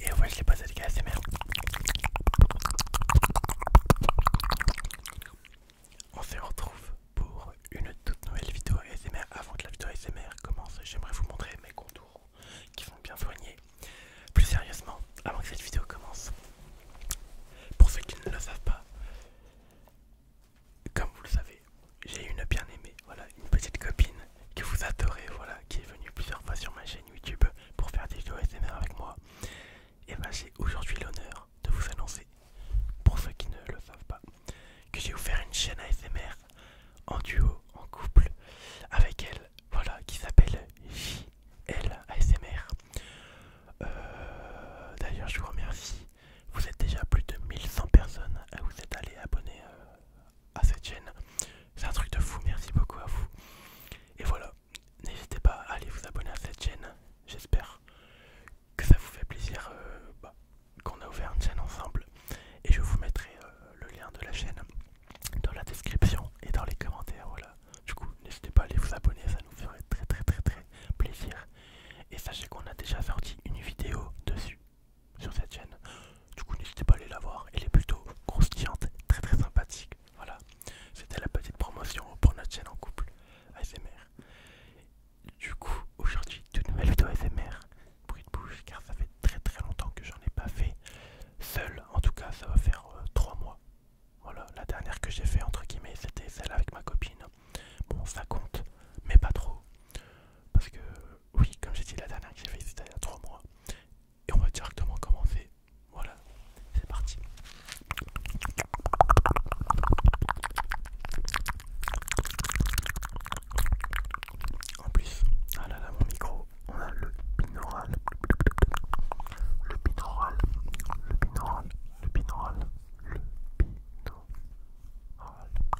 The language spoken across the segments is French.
Et ouais, je l'ai pas avec ASMR. On se retrouve pour une toute nouvelle vidéo ASMR. Avant que la vidéo ASMR commence, j'aimerais vous montrer mes contours qui sont bien soignés Plus sérieusement, avant que cette vidéo commence, pour ceux qui ne le savent pas, comme vous le savez, j'ai une bien aimée, voilà, une petite copine que vous adorez, voilà, qui est venu plusieurs fois sur ma chaîne YouTube pour faire des vidéos ASMR avec moi. Et bah j'ai aujourd'hui l'honneur de vous annoncer, pour ceux qui ne le savent pas, que j'ai ouvert une chaîne ASMR en duo, en couple, avec elle, voilà, qui s'appelle JL ASMR. Euh, d'ailleurs je vous remercie, vous êtes déjà plus de 1100 personnes à vous êtes allés abonner euh, à cette chaîne. C'est un truc de fou, merci beaucoup à vous. Et voilà, n'hésitez pas à aller vous abonner à cette chaîne. J'espère que ça vous fait plaisir euh, bah, qu'on a ouvert une chaîne ensemble. Et je vous mettrai euh, le lien de la chaîne dans la description et dans les commentaires. Voilà. Du coup, n'hésitez pas à aller vous abonner, ça nous ferait très très très très plaisir. Et sachez qu'on a déjà sorti une vidéo dessus sur cette chaîne. Du coup, n'hésitez pas à aller la voir. Elle est plutôt croustillante, très très sympathique. Voilà, c'était la petite promotion pour notre chaîne en couple ASMR. Du coup, aujourd'hui, toute nouvelle vidéo ASMR. Bruit de bouche, car ça fait très très longtemps que j'en ai pas fait seul. En tout cas, ça va faire euh, trois mois. Voilà, la dernière que j'ai fait, entre guillemets, c'était celle avec ma copine. Bon, ça compte, mais pas trop. Parce que oui, comme j'ai dit la dernière que j'ai fait, c'était il y a 3 mois. Et on va directement commencer. Voilà, c'est parti. En plus, ah là mon micro, on a le binaural. Le binaural, le binaural, le binaural, le binaural.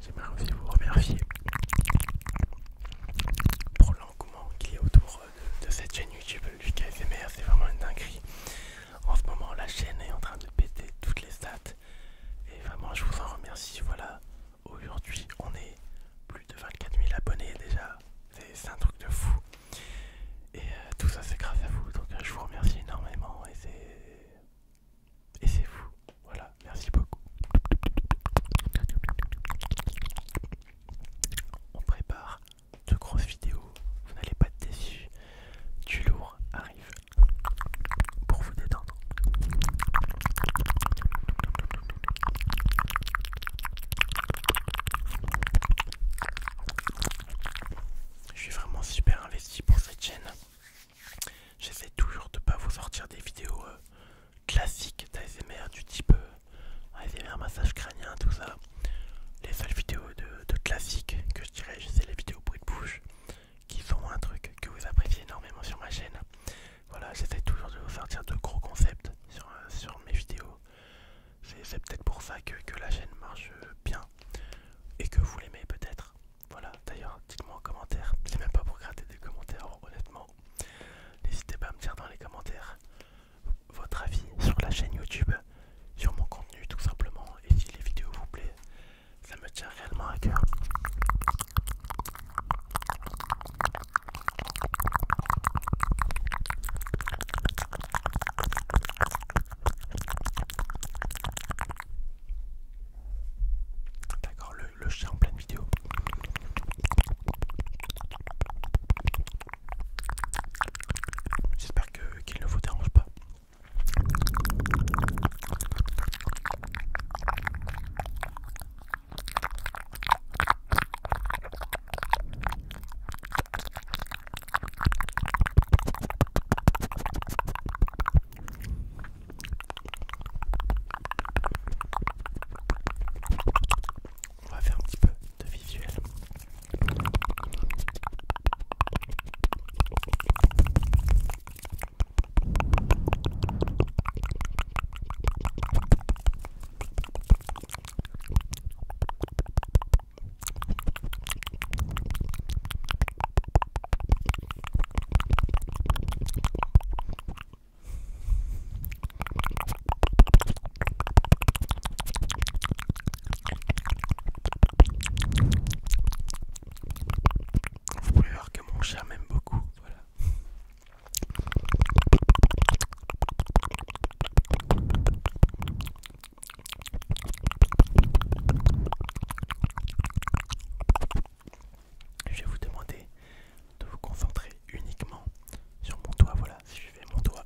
J'aimerais aussi vous remercier pour l'engouement qu'il y a autour euh, de, cette chaîne YouTube Lucas SMR, c'est vraiment une dinguerie. En ce moment, la chaîne est en train de péter toutes les stats et vraiment, je vous en remercie. Voilà, aujourd'hui, on est plus de 24 000 abonnés déjà, c'est un truc de fou. Et euh, tout ça, c'est grâce à vous, donc je vous remercie énormément et c'est et c'est vous. Voilà, merci beaucoup. On prépare de grosses vidéos, vous n'allez pas être déçus. Du lourd arrive pour vous détendre. Je suis vraiment super investi pour cette chaîne. J'essaie toujours de ne pas vous sortir des vidéos euh, classiques d'ASMR du type euh, ASMR massage crânien, tout ça. Les seules vidéos de, classique classiques que je dirais, c'est les vidéos bruit de bouche qui sont un truc que vous appréciez énormément sur ma chaîne. Voilà, j'essaie toujours de vous sortir de gros concepts sur, euh, mes vidéos. C'est peut-être pour ça que la chaîne marche bien et que vous l'aimez peut-être. Voilà, d'ailleurs, dites-moi en commentaire. C'est même pas pour gratter des commentaires, honnêtement. N'hésitez pas à me dire dans les commentaires votre avis sur la chaîne YouTube, sur mon contenu tout simplement. Et si les vidéos vous plaît, ça me tient réellement à cœur. D'accord, le le, chat en pleine vidéo. J'espère que qu'il ne vous dérange pas. On va faire un petit peu de visuel. Vous pouvez voir que mon chat m'aime beaucoup, voilà je vais vous demander de vous concentrer uniquement sur mon doigt. Voilà, suivez mon doigt.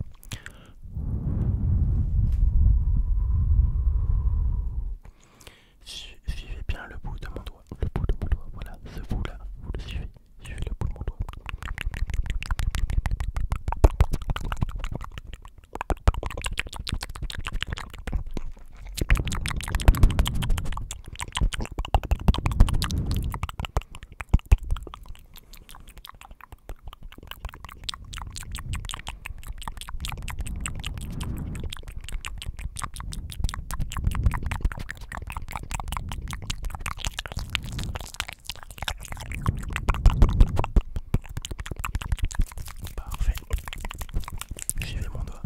Suivez bien le bout de mon doigt. Le bout de mon doigt, voilà, ce bout-là, vous le suivez. Suivez le bout de mon doigt. Parfait. j'ai vais mon doigt.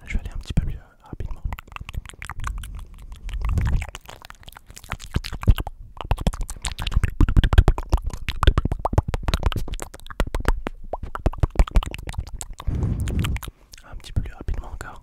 Ah, je vais aller un petit peu plus euh, rapidement. Un petit peu plus rapidement encore.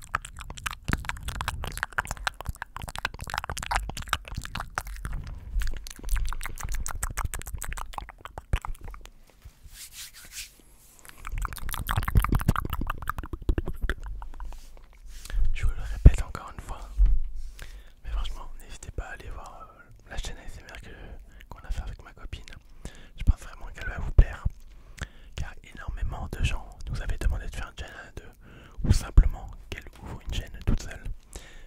Je vous le répète encore une fois, mais franchement, n'hésitez pas à aller voir euh, la chaîne ASMR qu'on a fait avec ma copine. Je pense vraiment qu'elle va vous plaire. Car énormément de gens nous avaient demandé de faire une chaîne à deux. Ou simplement qu'elle ouvre une chaîne toute seule.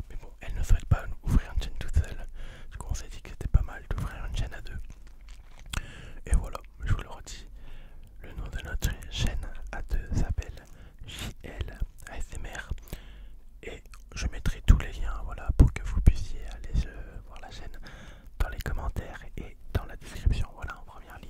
Mais bon, elle ne souhaite pas ouvrir une chaîne toute seule. Je coup, on s'est dit que c'était pas mal d'ouvrir une chaîne à deux. Et voilà, je vous le redis. Le nom de notre chaîne à deux s'appelle JL Et je mettrai tous les liens voilà, pour que vous puissiez aller voir la chaîne dans les commentaires et dans la description. Voilà en première ligne.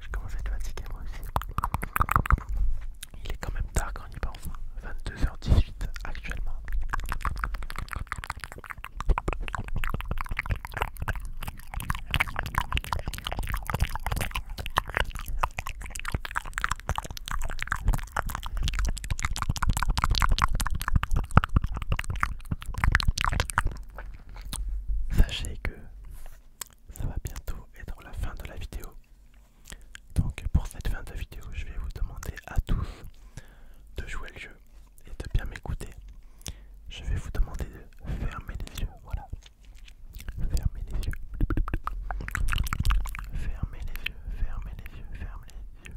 Je commence à être fatigué moi aussi. Il est quand même tard quand on y pense. 22h18 hein. actuellement. Sachez que ça va bientôt être la fin de la vidéo. Donc pour cette fin de vidéo, je vais vous demander à tous de jouer le jeu et de bien m'écouter. Je vais vous demander de fermer les yeux, voilà. Fermez les yeux. Fermez les yeux, fermez les yeux, fermez les yeux.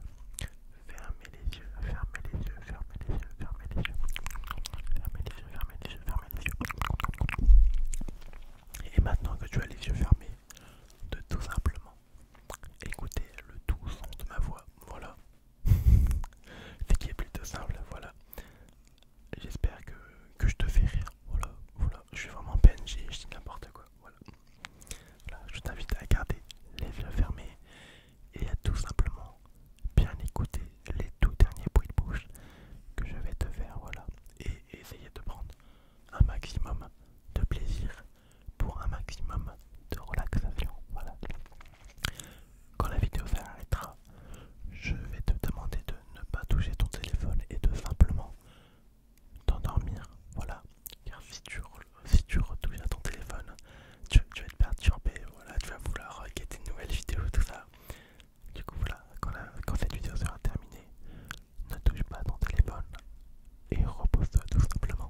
Fermez les yeux, fermez les yeux, fermez les yeux, fermez les yeux. Fermez les yeux, fermez les yeux, fermez les yeux. Et maintenant que tu as les yeux fermés, de tout simplement écouter le doux son de ma voix. Voilà. Ce qui est plutôt simple, voilà. J'espère que, je te fais rire. Voilà, voilà. Je suis vraiment PNG, je dis n'importe quoi. Voilà. Je t'invite à garder les yeux fermés et à tout simplement bien écouter les tout derniers bruits de bouche que je vais te faire. Voilà. Et essayer de prendre un maximum de plaisir pour un maximum de relaxation. Voilà. Quand la vidéo s'arrêtera, je vais te demander de ne pas toucher ton téléphone et de simplement t'endormir. Voilà, car si tu, retouches à ton téléphone, tu, vas te perturber, voilà, tu vas vouloir regarder euh, une nouvelle vidéo, tout ça. Du coup, voilà, quand, cette vidéo sera terminée, ne touche pas ton téléphone et repose-toi tout simplement.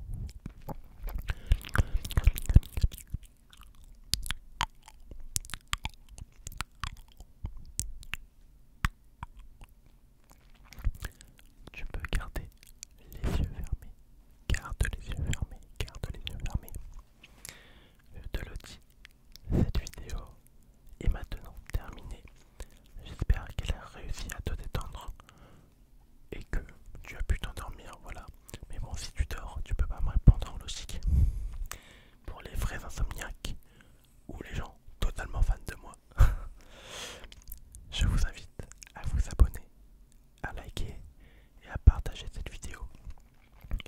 Tu peux garder les yeux fermés. Garde les yeux fermés. Garde les yeux fermés. Je te le dis, cette vidéo est maintenant terminée. J'espère qu'elle a réussi à te détendre et que tu as pu t'endormir, voilà. Mais bon, si tu dors, tu peux pas me répondre en logique. Pour les vrais insomniaques ou les gens totalement fans de moi, je vous invite à vous abonner, à liker et à partager cette vidéo.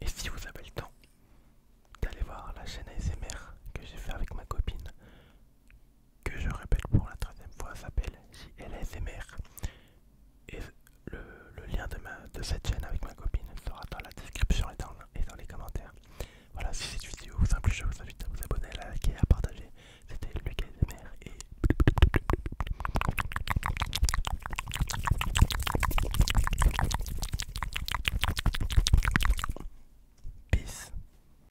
Et si vous avez le temps, d'aller voir la chaîne ASMR que j'ai fait avec ma copine que je répète pour la troisième fois, s'appelle JLSMR. Et le, lien de, ma, de cette chaîne avec ma copine sera dans la description et dans, les commentaires. Voilà, si cette vidéo vous a plu, je vous invite à vous abonner, à liker, à partager. C'était Lucas et... Peace.